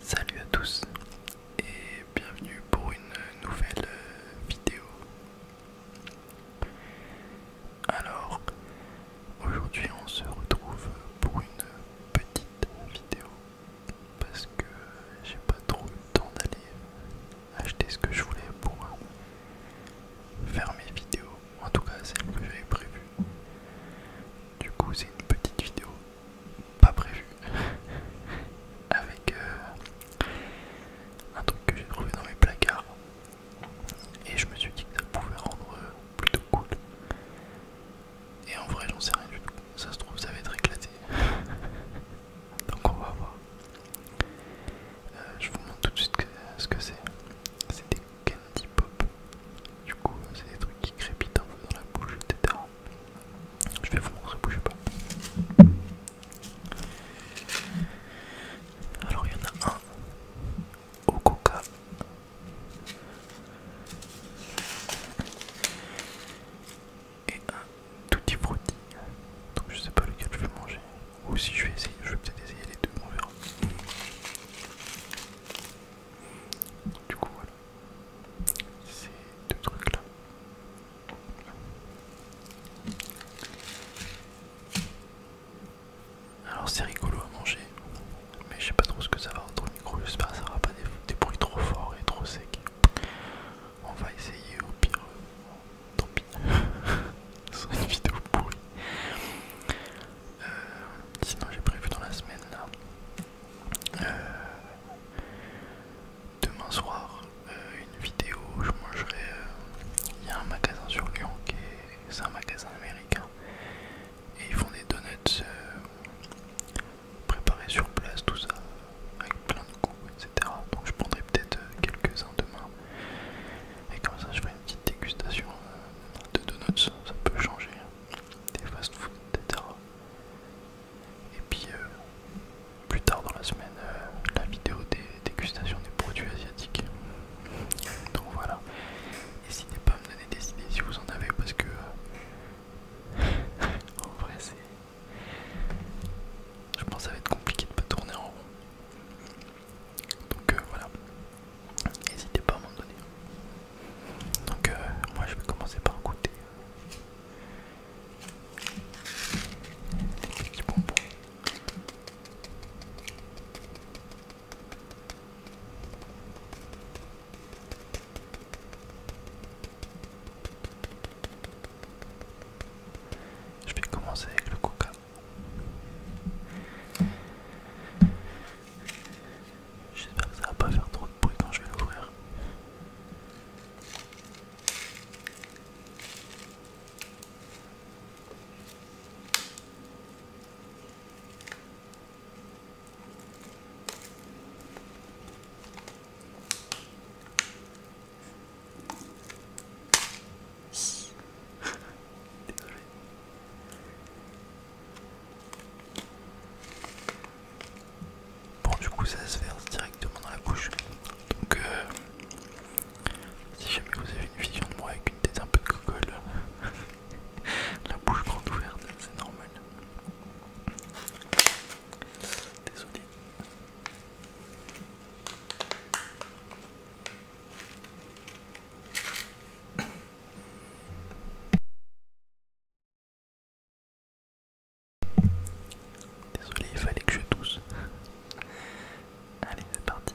Salut à tous et bienvenue pour une nouvelle euh, vidéo. Alors, aujourd'hui on se retrouve pour une petite vidéo parce que j'ai pas trop eu le temps d'aller acheter ce que je voulais pour faire mes vidéos, en tout cas celle que j'avais prévu. Du coup, c'est une petite vidéo pas prévu avec euh, un truc que j'ai trouvé dans mes placards et je me suis dit que ça pouvait rendre euh, plutôt cool et en vrai j'en sais rien du tout ça se trouve ça va être éclaté donc on va voir euh, je vous montre tout de suite ce que c'est candy pop. Du coup, c'est des trucs qui crépitent un peu dans la bouche, etc. Je vais vous montrer, bougez pas. Alors, il y en a un au coca. Et un tutti frutti. Donc je sais pas lequel je vais manger. Ou si je vais essayer, je vais peut-être essayer les deux, on verra. Du coup, voilà. Ces deux trucs-là. Alors c'est rigolo à manger, mais je sais pas trop ce que ça va rendre micro, j'espère que ça aura pas des, bruits trop forts et trop secs. On va essayer au pire, euh, tant pis, une vidéo pourrie. Euh, sinon j'ai prévu dans la semaine là. Euh, demain soir, euh, une vidéo où je mangerai. Il y a un magasin sur Lyon qui est. C'est un magasin américain. Et ils font des donuts préparés sur place, tout ça, avec plein de goûts, etc. Donc je prendrai peut-être quelques-uns demain. Et comme ça je ferai une petite dégustation de donuts, ça peut changer des fast-food, etc. Et puis euh, plus tard dans la semaine, euh, la vidéo des dégustations des produits asiatiques. Donc voilà. N'hésitez pas à me donner des idées si vous en avez parce que euh, en vrai c'est... Je pense que ça va être compliqué de pas tourner en rond. Donc voilà n'hésitez pas à m'en donner. Donc, euh, moi je vais commencer par goûter Je vais commencer avec le coca. J'espère que ça va pas faire trop de bruit quand je vais l'ouvrir. Désolé. Bon du coup ça se verse directement dans la bouche. Donc euh, si jamais vous avez une vision de moi avec une tête un peu de la bouche grande ouverte, c'est normal. Désolé. Désolé, il fallait que je tousse. Allez, c'est parti.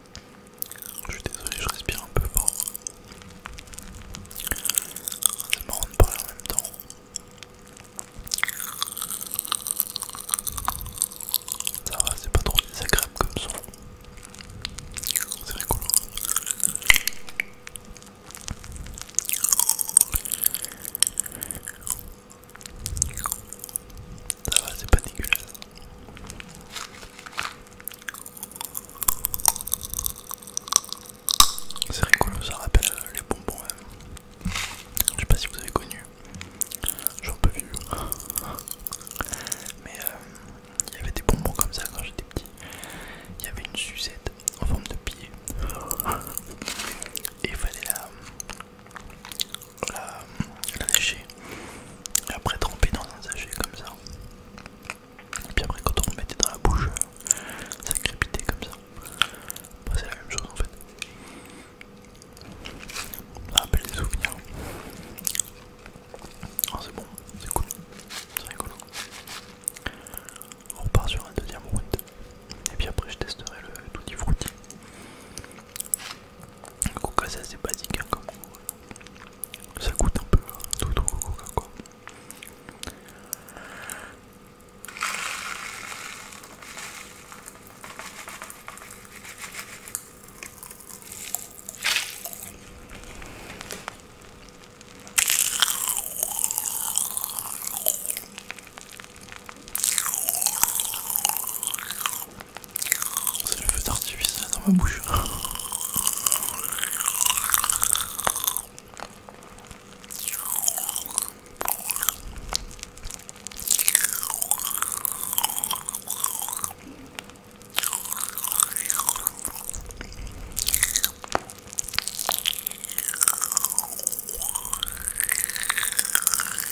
Je suis désolé, je respire un peu fort. C'est marrant de parler en même temps. Ça va, c'est pas trop désagréable comme son. C'est rigolo. Ça va, c'est pas dégueulasse. C'est rigolo, ça rappelle euh, les bonbons. Hein. Je sais pas si vous avez connu. j'en peux plus. Mais euh, il y avait des bonbons comme ça quand j'étais petit. Il y avait une sucette en forme de pied. Et il fallait la, la, euh, la lécher et après tremper dans un sachet comme ça. Et puis après quand on remettait dans la bouche, euh, ça crépitait comme ça. Bah, c'est la même chose en fait. Ça ah, rappelle des souvenirs. Ah, c'est bon, c'est cool, c'est rigolo. On repart sur un deuxième route Et puis après je testerai le tutti frutti. Coca, c'est assez basique hein, comme Ça coûte un peu hein, tout au Coca quoi. C'est le feu d'artifice dans ma bouche.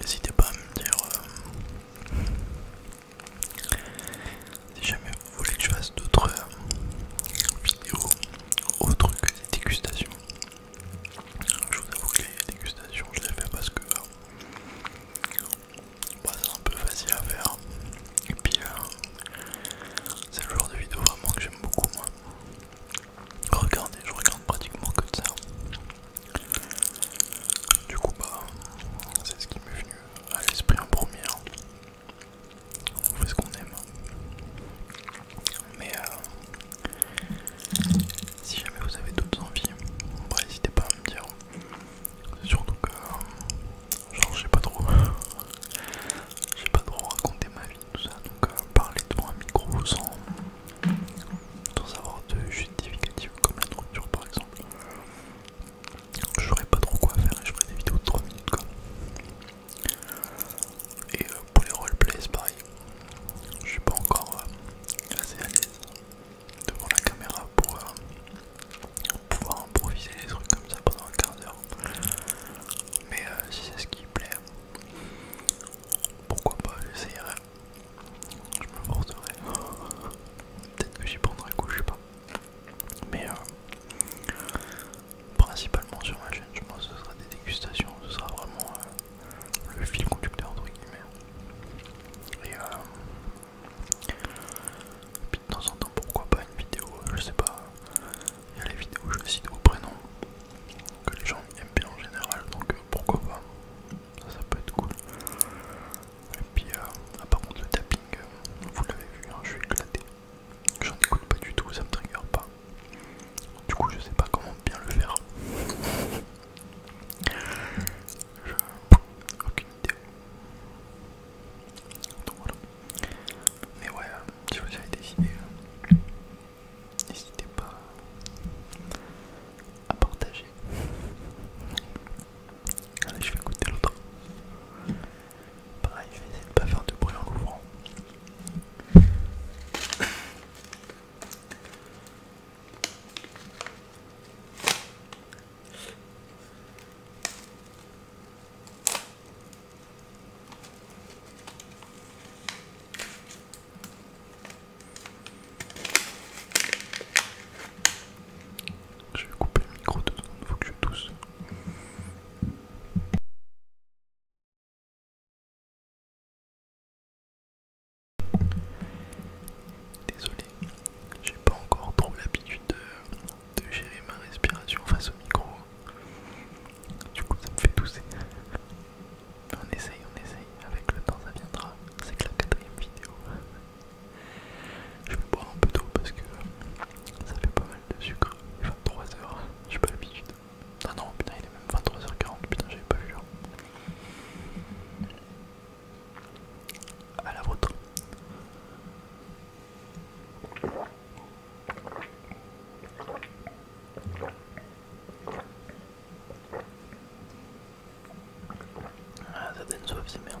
N'hésitez pas à me dire euh, si jamais vous voulez que je fasse d'autres euh, vidéos autres trucs des dégustations. Je vous avoue que les dégustations, je les fais parce que euh, bah, c'est un peu facile à faire. Et puis, euh, c'est le genre de vidéo vraiment que j'aime beaucoup, moi. Regardez, je regarde pratiquement que ça. Du coup, bah, c'est ce qui m'est venu à l'esprit en premier. Hein on fait ce qu'on aime. Mais euh, si jamais vous avez d'autres envies, bah, n'hésitez pas à me dire. Surtout que, euh, genre, je pas trop, j'ai pas trop raconter ma vie, tout ça. Donc, euh, parler devant un micro sans, avoir de justificatif comme la nourriture, par exemple. Je pas trop quoi faire et je ferai des vidéos de 3 minutes quoi. Et euh, pour les roleplays, pareil. Je suis pas encore euh, assez à l'aise devant la caméra pour euh, pouvoir improviser des trucs comme ça pendant 15 h Mais si c'est ce qui plaît, pourquoi pas, j'essayerai. Je me forcerai. Peut-être que j'y prendrai coup, je sais pas. Mais principalement sur ma chaîne, je pense que ce sera des dégustations, ce sera vraiment euh, le fil conducteur entre guillemets. Et euh, puis de temps en temps, pourquoi pas une vidéo, euh, je sais pas, il y a les vidéos je cite au prénom, que les gens aiment bien en général, donc pourquoi pas, ça, peut être cool. Et puis, à ah, par contre, le tapping, vous l'avez vu, hein, je suis éclaté. J'en écoute pas du tout, ça me trigger pas. Du coup, je sais pas comment bien le faire. Aucune idée. Donc voilà. Mais ouais, euh, si vous avez des idées, euh, n'hésitez pas à partager. Allez, je vais écouter l'autre. Pareil, je vais de pas faire de bruit en l'ouvrant. Je vais couper le micro deux Il faut que je tousse. Désolé, j'ai pas encore trop l'habitude de, gérer ma respiration face au micro. Du coup, ça me fait tousser. on essaye, on essaye. Avec le temps, ça viendra. C'est que la quatrième vidéo. Je vais boire un peu d'eau parce que ça fait pas mal de sucre. 23h, j'ai pas l'habitude. Ah non, putain, il est même 23h40, putain, j'avais pas vu l'heure. Hein. À la vôtre. Ah, ça donne soif, c'est merdes.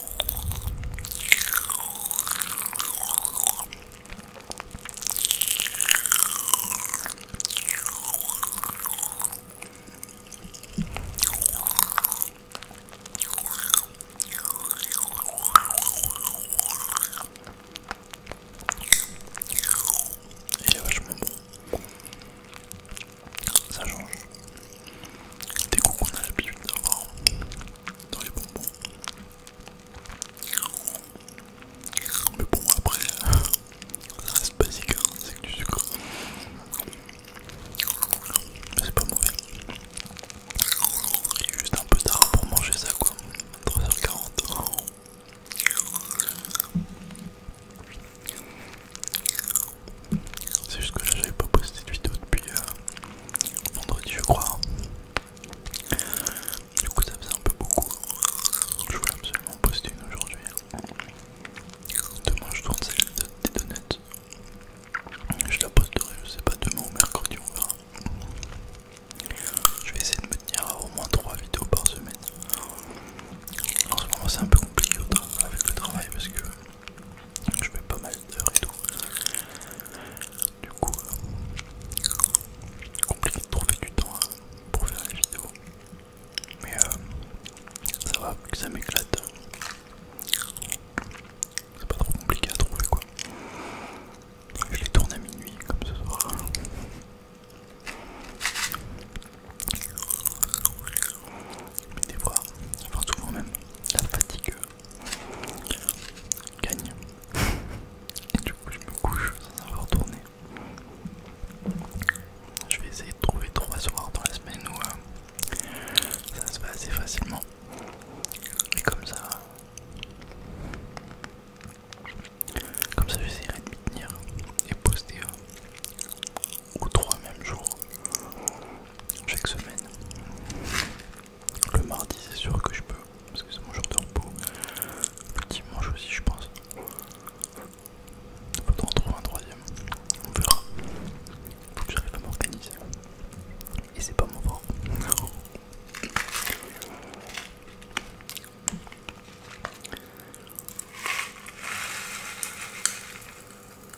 Il est vachement bon. Ça change. Des coups qu'on a l'habitude dans les bonbons. Mais bon, après, ça reste basique, hein, c'est que du sucre. Mais c'est pas mauvais. Il est juste un peu tard pour manger ça, quoi. 3h40. C'est juste que là j'avais pas posté de vidéo depuis, euh, vendredi je crois. Du coup ça faisait un peu beaucoup. Je voulais absolument poster une aujourd'hui. Demain je tourne celle des donuts. Je la posterai, je sais pas, demain ou mercredi on verra. Je vais essayer de me tenir à au moins 3 vidéos par semaine. En ce moment c'est un peu compliqué avec le travail parce que je vais pas mal du coup, euh, compliqué de trouver du temps hein, pour faire la vidéo, Mais euh, ça va, que ça m'éclate. C'est pas trop compliqué à trouver quoi. Je les tourne à minuit comme ce soir. Mais des fois, tout souvent même, la fatigue gagne. Et du coup, je me couche sans avoir tourné. Je vais essayer de trouver trois soirs dans la semaine où euh, ça se passe assez facilement. Et comme ça, comme ça, j'essaierai de m'y tenir et poster euh, ou trois même jours chaque semaine. Le mardi, c'est sûr que je peux, parce que c'est mon jour de repos. Le dimanche aussi, je pense. Il faudra en trouver un troisième. On verra. Faut que j'arrive à m'organiser. Et c'est pas mon fort.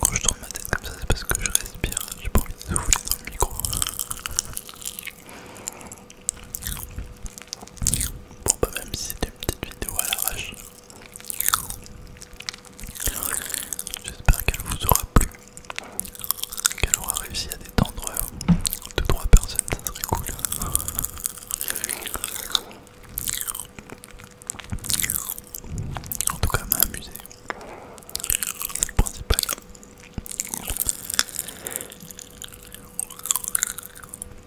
Quand je tourne ma tête comme ça, c'est parce que je respire, j'ai pas envie de souffler dans le micro. Bon, bah, même si c'était Petite vidéo à l'arrache. J'espère qu'elle vous aura plu, qu'elle aura réussi à détendre 2-3 euh, personnes, ça serait cool. En tout cas, elle m'a amusé, c'est le principal.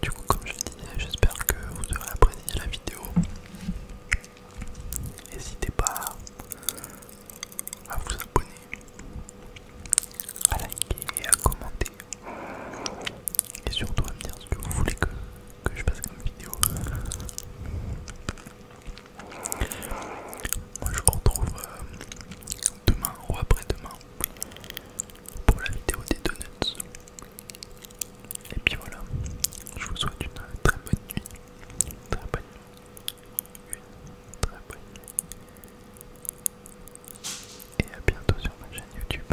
Du coup, comme je disais, j'espère que vous aurez apprécié la vidéo. N'hésitez pas à vous abonner, à liker et à commenter. Et surtout à me dire ce que vous voulez que, je fasse comme vidéo. Moi je vous retrouve euh, demain ou après-demain pour la vidéo des donuts. Et puis voilà, je vous souhaite une très bonne nuit. très bonne nuit. Une très bonne nuit. Et à bientôt sur ma chaîne YouTube.